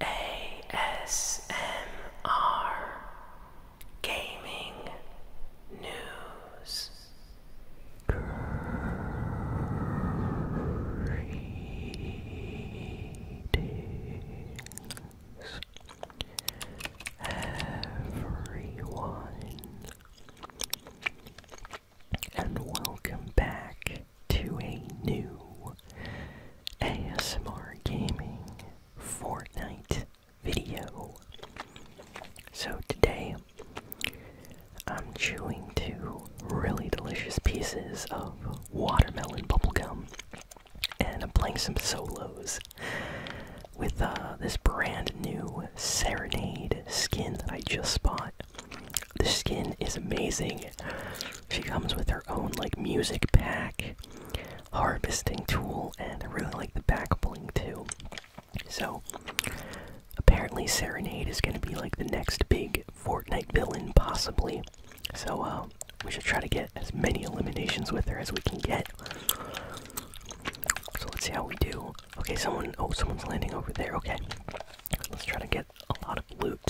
ASMR Gaming News Greetings everyone and welcome back to a new ASMR Gaming Fortnite video. So today, I'm chewing two really delicious pieces of watermelon bubblegum, and I'm playing some solos with uh, this brand new Serenade skin that I just bought. The skin is amazing. She comes with her own like music pack, harvesting tool, and I really like the back bling too. So apparently Serenade is gonna be like the next big Fortnite villain possibly. So uh, we should try to get as many eliminations with her as we can get. So let's see how we do. Okay, someone oh someone's landing over there. Okay. Let's try to get a lot of loot.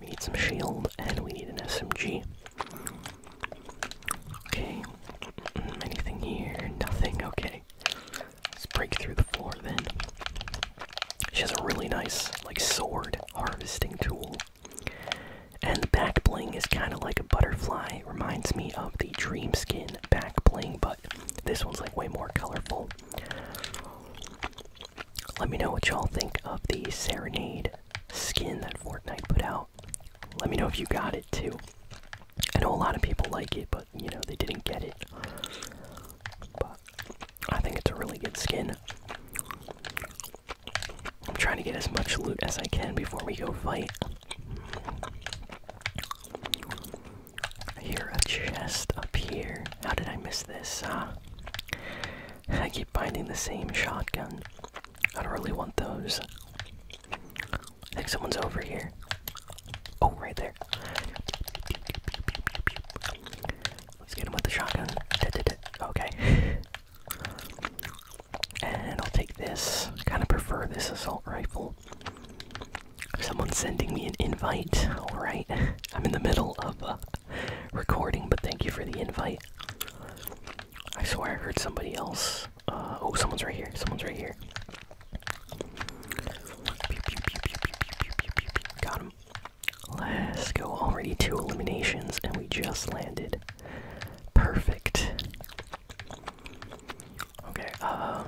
We need some shield and we need an SMG. Okay. Anything here? Nothing. Okay. Let's break through the floor then. She has a really nice, like, sword harvesting tool. And the back bling is kind of like a butterfly. reminds me of the Dream Skin back bling, but this one's like way more colorful. Let me know what y'all think of the Serenade skin that Fortnite put out. Let me know if you got it too. I know a lot of people like it, but you know, they didn't get it. But I think it's a really good skin. I'm trying to get as much loot as I can before we go fight. I a chest up here. How did I miss this? I keep finding the same shotgun. I don't really want those. I think someone's over here. Oh, right there. Let's get him with the shotgun. Okay. And I'll take this. kind of prefer this assault rifle someone's sending me an invite. Alright. I'm in the middle of uh, recording, but thank you for the invite. I swear I heard somebody else. Uh, oh, someone's right here. Someone's right here. Got him. Let's go. Already two eliminations, and we just landed. Perfect. Okay, um,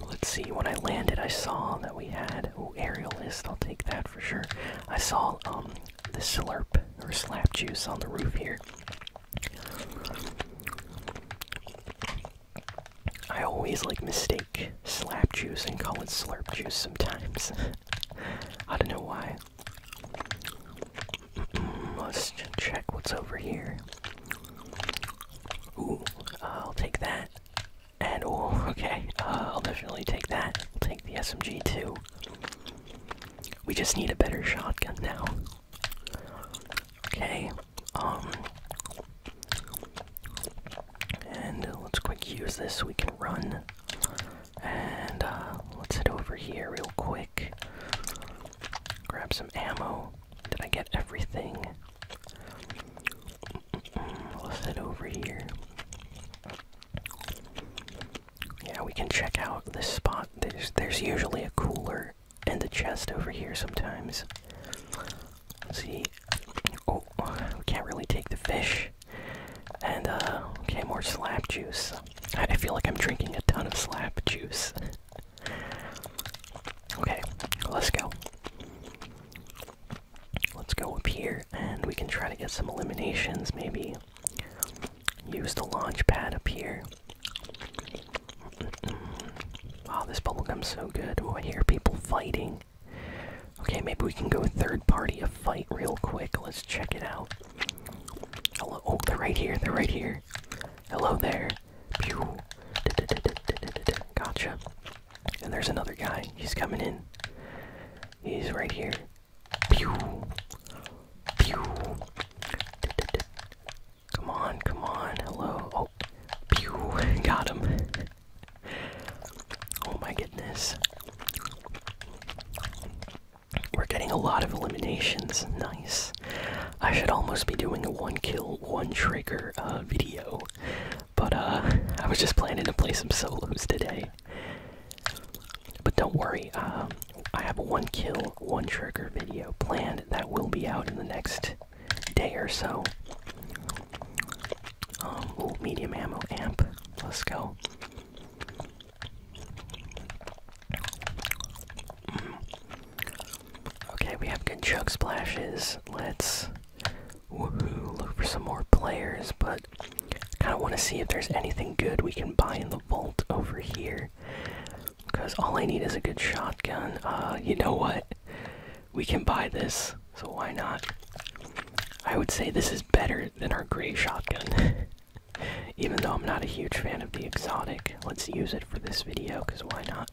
Let's see. When I landed, I saw that we had oh aerialist. I'll take that for sure. I saw um the slurp or slap juice on the roof here. I always like mistake slap juice and call it slurp juice sometimes. I don't know why. Let's check what's over here. Ooh, I'll take that. And oh, okay. Uh, I'll definitely take that. We'll take the SMG too. We just need a better shotgun now. Okay. Um. And let's quick use this so we can run. And uh, let's head over here real quick. Grab some ammo. Did I get everything? Let's head over here. Yeah, we can check out this spot. There's there's usually a cooler and a chest over here sometimes. Let's see. Oh, we can't really take the fish. And uh, okay, more slap juice. I feel like I'm drinking a ton of slap juice. Okay, let's go. Let's go up here and we can try to get some eliminations, maybe. Use the launch pad up here. Mm -mm. Wow, this bubblegum's so good. Oh, I hear people fighting. Okay, maybe we can go third party a fight real quick. Let's check it out. Hello. Oh, they're right here. They're right here. Hello there. Pew. Gotcha. And there's another guy. He's coming in. He's right here. Pew. Pew. Come on, come on. Hello. Oh. Pew. Got him. Oh my goodness. We're getting a lot of eliminations. Nice. I should almost be doing a one kill, one trigger uh, video, but uh, I was just planning to play some solos today. But don't worry, uh, I have a one kill, one trigger video planned that will be out in the next day or so. Um, medium ammo amp. Let's go. Okay, we have good chug splashes. Let's woohoo look for some more players, but I kind of want to see if there's anything good we can buy in the vault over here. Because all I need is a good shotgun. Uh, you know what? We can buy this, so why not? I would say this is better than our gray shotgun. Even though I'm not a huge fan of the exotic, let's use it for this video, because why not?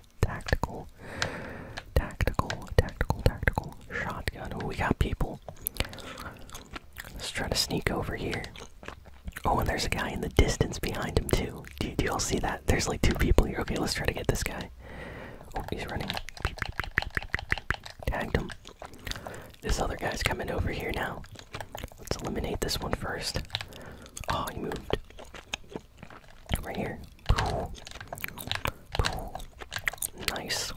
tactical, tactical, tactical, tactical shotgun. Oh, we got people. Let's try to sneak over here. Oh, and there's a guy in the distance behind him too. Do, y'all see that? There's like two people here. Okay, let's try to get this guy. Oh, he's running. Tagged him. This other guy's coming over here now. Let's eliminate this one first. Oh, he moved. Right here. Nice.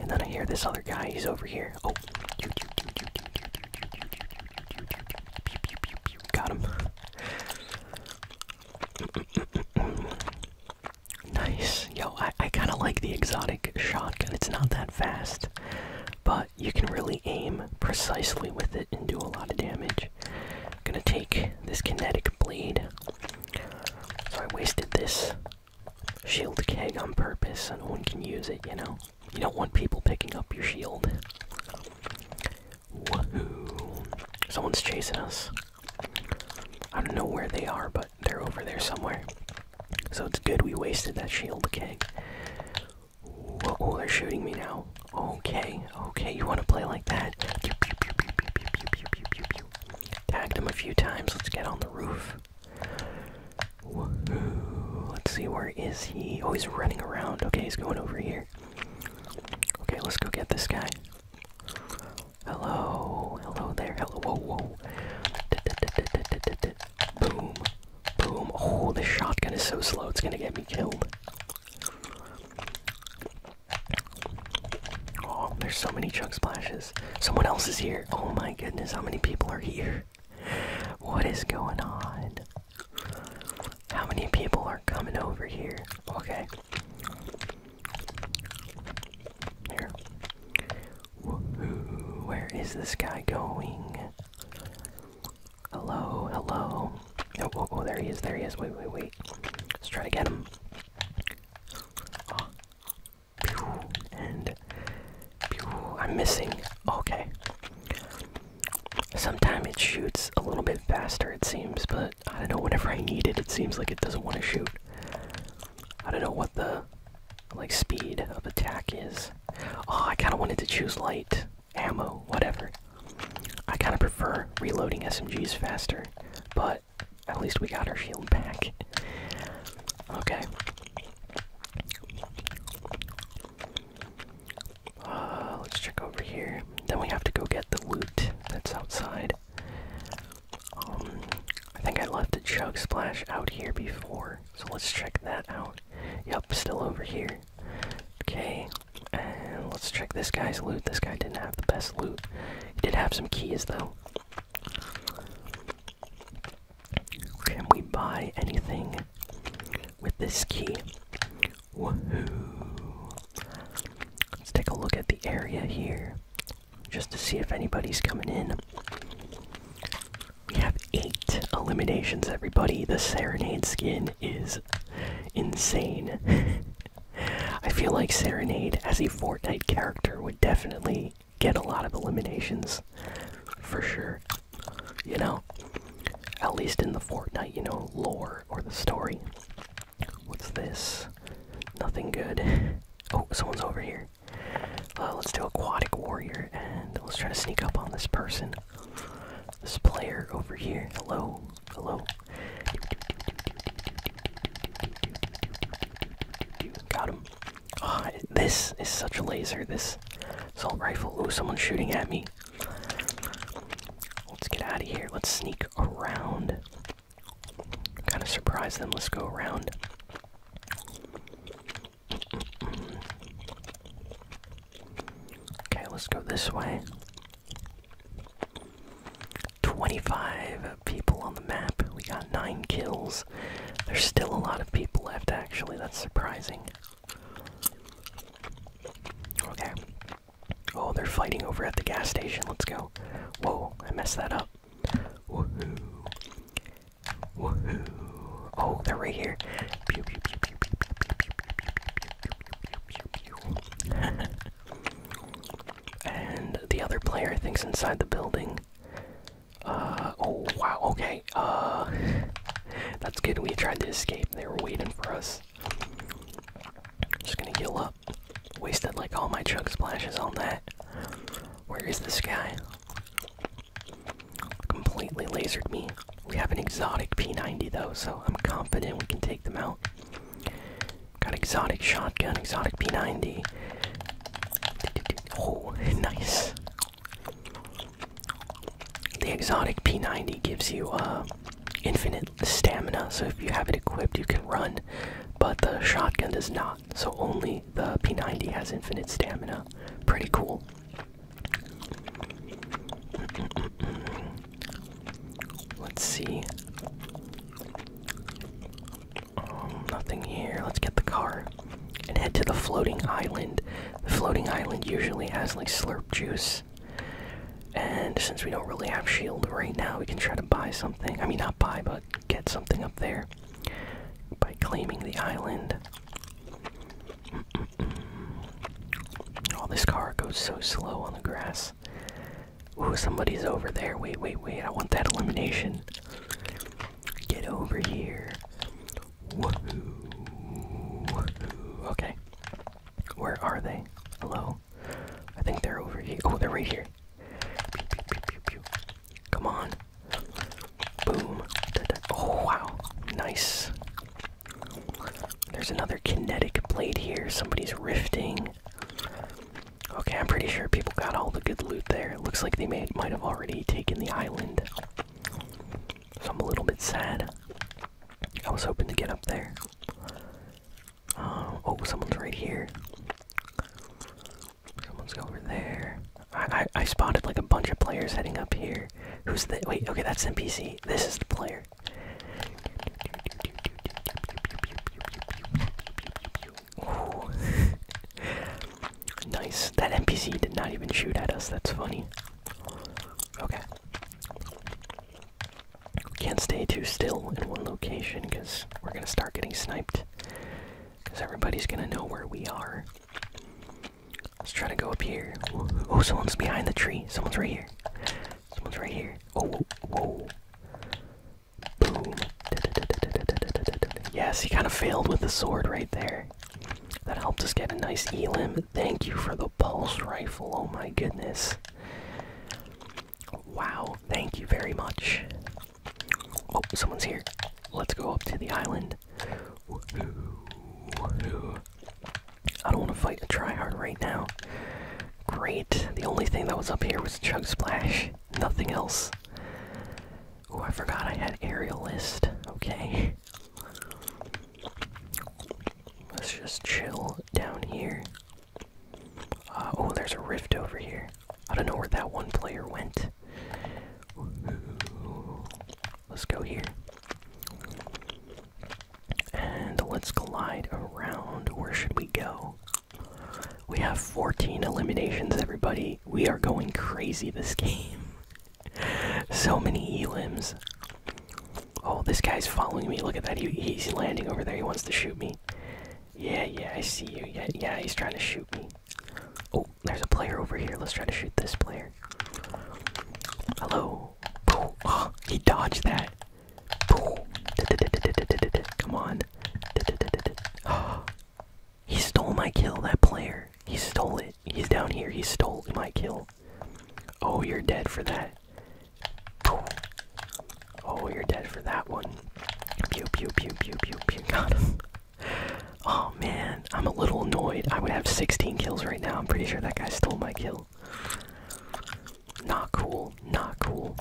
And then I hear this other guy, he's over here. Oh. Got him. nice. Yo, I, I kind of like the exotic shotgun. It's not that fast, but you can really aim precisely with it and do a lot of damage. I'm gonna take this kinetic blade. So I wasted this shield keg on purpose so no one can use it, you know? You don't want people picking up your shield. Woohoo! Someone's chasing us. I don't know where they are, but they're over there somewhere. So it's good we wasted that shield keg. Whoa, oh, they're shooting me now. Okay, okay, you want to play like that? Pew, pew, pew, pew, pew, pew, pew, pew, pew, pew, pew. Tagged him a few times. Let's get on the roof. Woohoo. Let's see, where is he? Oh, he's running around. Okay, he's going over here. Okay, let's go get this guy. Hello, hello there. Hello, whoa, whoa. D -d -d -d -d -d -d -d -d. Boom. Boom. Oh, this shotgun is so slow, it's gonna get me killed. Oh, there's so many chug splashes. Someone else is here. Oh my goodness, how many people are here? What is going on? How many people are coming over here? Okay. Here. Where is this guy going? Hello, hello. Oh, oh, oh, there he is, there he is. Wait, wait, wait. Let's try to get him. And I'm missing. Okay. Sometimes it shoots a little bit faster, it seems, but I don't know. Whenever I need it, it seems like it doesn't want to shoot. I don't know what the like speed of attack is. Oh, I kind of wanted to choose light ammo, whatever. I kind of prefer reloading SMGs faster, but at least we got our shield back. okay. Uh, let's check over here. Then we have to go get the woot that's outside. Um, I think I left a chug splash out here before, so let's check that out out. Yup, still over here. Okay, and let's check this guy's loot. This guy didn't have the best loot. He did have some keys though. Can we buy anything with this key? Woohoo! Let's take a look at the area here just to see if anybody's coming in. We have eight eliminations, everybody. The Serenade skin is insane. I feel like Serenade as a Fortnite character would definitely get a lot of eliminations for sure. You know, at least in the Fortnite, you know, lore or the story. What's this? Nothing good. Oh, someone's over here. Uh, let's do Aquatic Warrior and let's try to sneak up on this person. This player over here. Hello. Hello. Got him. Oh, this is such a laser. This assault rifle. Oh, someone's shooting at me. Let's get out of here. Let's sneak around. Kind of surprise them. Let's go around. Okay, let's go this way. 25 people on the map. We got 9 kills. There's still a lot of people left, actually. That's surprising. Okay. Oh, they're fighting over at the gas station. Let's go. Whoa, I messed that up. Woohoo. Woohoo! Oh, they're right here. And the other player think's inside the building. Uh oh wow, okay. Uh that's good. We tried to escape. They were waiting for us. Just gonna heal up. Wasted like all my chug splashes on that. Where is this guy? Completely lasered me. We have an exotic P90 though, so I'm confident we can take them out. Got exotic shotgun, exotic P90. Oh, nice. The exotic P90 gives you uh, infinite stamina, so if you have it equipped, you can run, but the shotgun does not. So only the P90 has infinite stamina. Pretty cool. Let's see. Um, nothing here. Let's get the car and head to the floating island. The floating island usually has like slurp juice. And since we don't really have shield right now, we can try to buy something. I mean, not buy, but get something up there by claiming the island. Oh, this car goes so slow on the grass. Ooh, somebody's over there. Wait, wait, wait. I want that elimination. Get over here. Okay. Where are they? Hello? I think they're over here. Oh, they're right here. Come on. Boom. Oh, wow. Nice. There's another kinetic blade here. Somebody's rifting. Okay, I'm pretty sure people got all the good loot there. looks like they may, might have already taken the island. So I'm a little bit sad. I was hoping to get up there. Um, oh, someone's right here. Someone's over there. I, I I spotted like a bunch of players heading up here. Who's the wait? Okay, that's NPC. This is the player. Ooh. nice. That NPC did not even shoot at us. That's funny. Okay. Can't stay too still in one location because we're gonna start getting sniped. Because everybody's gonna know where we are. Let's try to go up here. Oh, someone's behind the tree. Someone's right here. Someone's right here. Oh, whoa. Boom. Yes, he kind of failed with the sword right there. That helped us get a nice elim. Thank you for the pulse rifle. Oh my goodness. Wow, thank you very much. Oh, someone's here. Let's go up to the island. I don't want to fight a tryhard right now. Great. The only thing that was up here was Chug Splash. Nothing else. Oh, I forgot I had aerial Okay. Let's just chill down here. Uh, oh, there's a rift over here. I don't know where that one player went. Let's go here. And let's glide around. Where should we go? We have 14 eliminations, everybody. We are going crazy this game. so many elims. Oh, this guy's following me. Look at that. he's landing over there. He wants to shoot me. Yeah, yeah, I see you. Yeah, yeah, he's trying to shoot me. Oh, there's a player over here. Let's try to shoot this player. Hello. Oh, he dodged that. Come on. he stole my kill, that player. He stole it. He's down here. He stole my kill. Oh, you're dead for that. Oh, you're dead for that one. Pew pew pew pew pew pew. Got Oh man, I'm a little annoyed. I would have 16 kills right now. I'm pretty sure that guy stole my kill. Not cool. Not cool.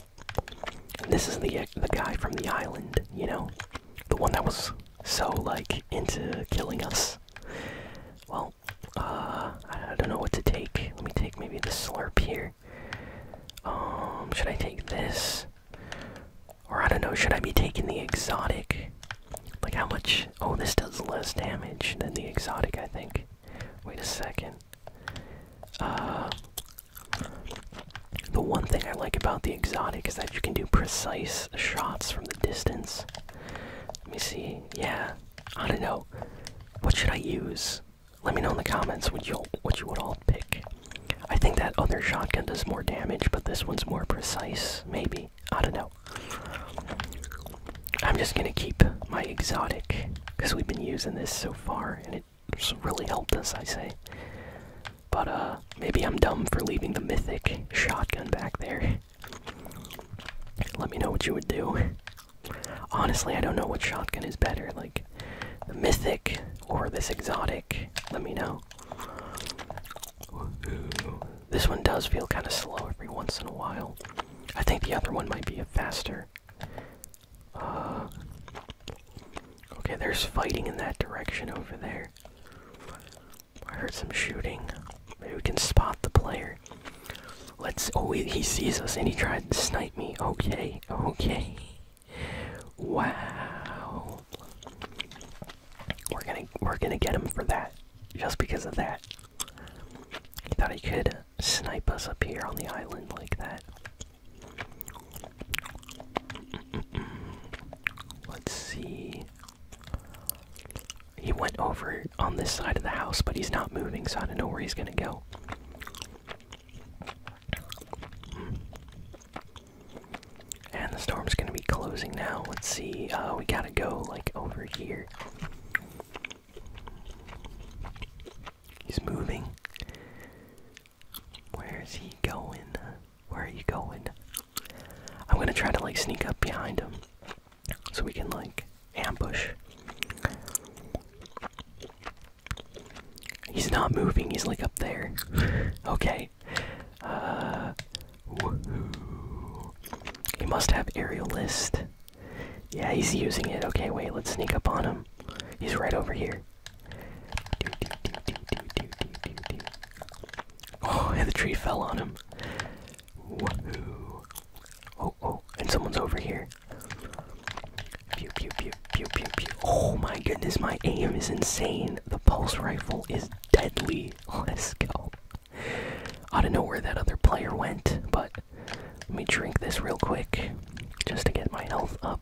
This is the the guy from the island, you know, the one that was so like into killing us. Well, uh, I don't know what to take. Let me take maybe the slurp here. Um, should I take this? Or I don't know, should I be taking the exotic? Like how much? Oh, this does less damage than the exotic, I think. Wait a second. Uh, the one thing I like about the exotic is that you can do precise shots from the distance. Let me see. Yeah, I don't know. What should I use? Let me know in the comments what you what you would all pick. I think that other shotgun does more damage, but this one's more precise, maybe. I don't know. I'm just gonna keep my exotic, because we've been using this so far, and it really helped us, I say. But, uh, maybe I'm dumb for leaving the mythic shotgun back there. Let me know what you would do. Honestly, I don't know what shotgun is better. Like, mythic or this exotic, let me know. This one does feel kind of slow every once in a while. I think the other one might be a faster. Uh, okay, there's fighting in that direction over there. I heard some shooting. Maybe we can spot the player. Let's. Oh, he sees us and he tried to snipe me. Okay, okay. Wow. We're gonna we're gonna get him for that. Just because of that. He thought he could snipe us up here on the island like that. Let's see. He went over on this side of the house, but he's not moving, so I don't know where he's gonna go. And the storm's gonna be closing now. Let's see. Uh, we gotta go like over here. He's moving. Where is he going? Where are you going? I'm gonna try to like sneak up behind him so we can like ambush. He's not moving, he's like up there. okay. Uh, woohoo. He must have aerial Yeah, he's using it. Okay, wait, let's sneak up on him. He's right over here. Oh, and the tree fell on him. Woohoo. Oh, oh, and someone's over here. Oh my goodness, my aim is insane. The pulse rifle is deadly. Let's go. I don't know where that other player went, but let me drink this real quick just to get my health up.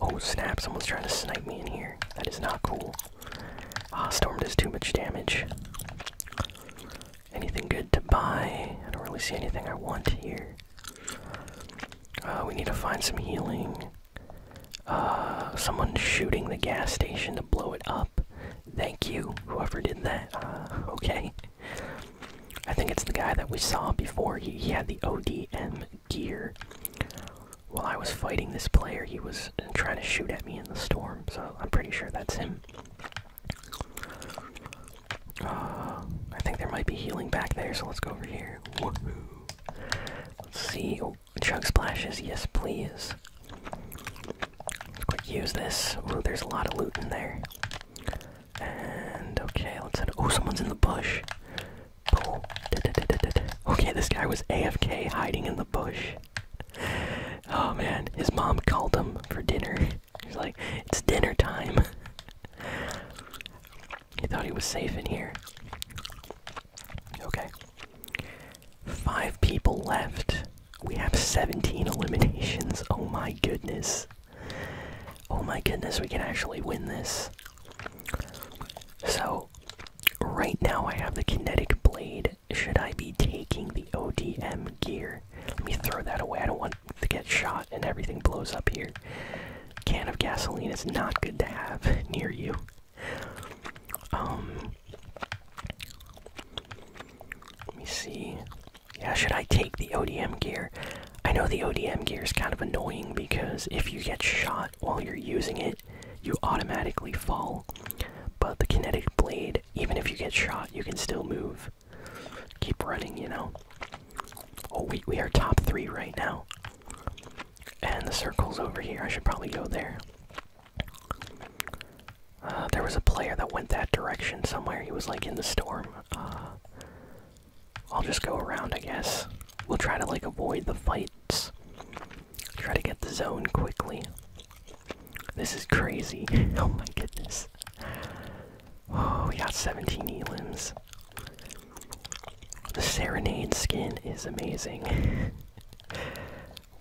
Oh snap, someone's trying to snipe me in here. That is not cool. Ah, storm does too much damage. Anything good to buy? I don't really see anything I want here. Uh, we need to find some healing. Uh, someone's shooting the gas station to blow it up. Thank you, whoever did that. Uh, okay. I think it's the guy that we saw before. He, he had the ODM gear. While I was fighting this player, he was trying to shoot at me in the storm, so I'm pretty sure that's him. I think there might be healing back there, so let's go over here. Let's see. Oh, chug splashes, yes, please. Let's quick use this. Ooh, there's a lot of loot in there. And okay, let's head. Oh, someone's in the bush. Okay, this guy was AFK hiding in the bush. Oh man, his mom called him for dinner. He's like, it's dinner time. he thought he was safe in here. Okay. Five people left. We have 17 eliminations. Oh my goodness. Oh my goodness, we can actually win this. So, right now I have the kinetic blade. Should I be taking the ODM gear? Let me throw that away. I don't want to get shot and everything blows up here. Can of gasoline is not good to have near you. Um Let me see. Yeah, should I take the ODM gear? I know the ODM gear is kind of annoying because if you get shot while you're using it, you automatically fall. But the kinetic blade, even if you get shot, you can still move. Keep running, you know. Oh, we, we are top three right now. And the circle's over here. I should probably go there. Uh, there was a player that went that direction somewhere. He was like in the storm. Uh, I'll just go around, I guess. We'll try to like avoid the fights. Try to get the zone quickly. This is crazy. oh my goodness. Oh, we got 17 elims. The Serenade skin is amazing.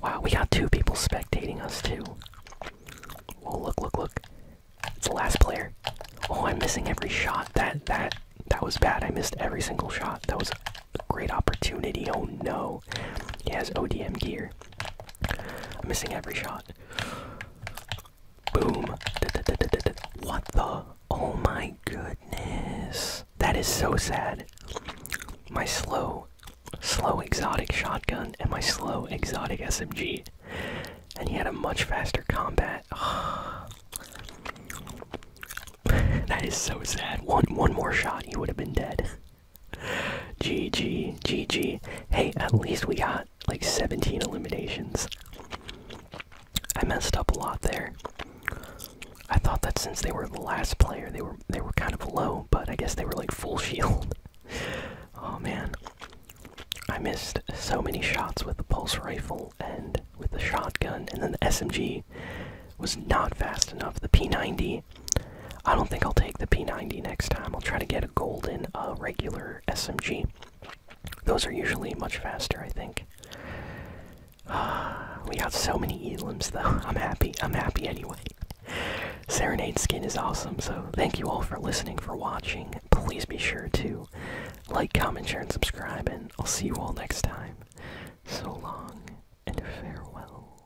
wow, we got two people spectating us too. Oh, look, look, look. It's the last player. Oh, I'm missing every shot. That, that, that was bad. I missed every single shot. That was a great opportunity. Oh no. He has ODM gear. I'm missing every shot. Boom. What the? Oh my goodness. That is so sad. My slow, slow exotic shotgun and my slow exotic SMG. And he had a much faster combat. that is so sad. One one more shot, he would have been dead. GG, GG. Hey, at least we got like 17 eliminations. I messed up a lot there. I thought that since they were the last player, they were they were kind of low, but I guess they were like full shield. oh man, I missed so many shots with the pulse rifle and with the shotgun, and then the SMG was not fast enough. The P90. I don't think I'll take the P90 next time. I'll try to get a golden uh, regular or SMG. Those are usually much faster, I think. we have so many elims though. I'm happy. I'm happy anyway. Serenade skin is awesome, so thank you all for listening, for watching. Please be sure to like, comment, share, and subscribe, and I'll see you all next time. So long and farewell.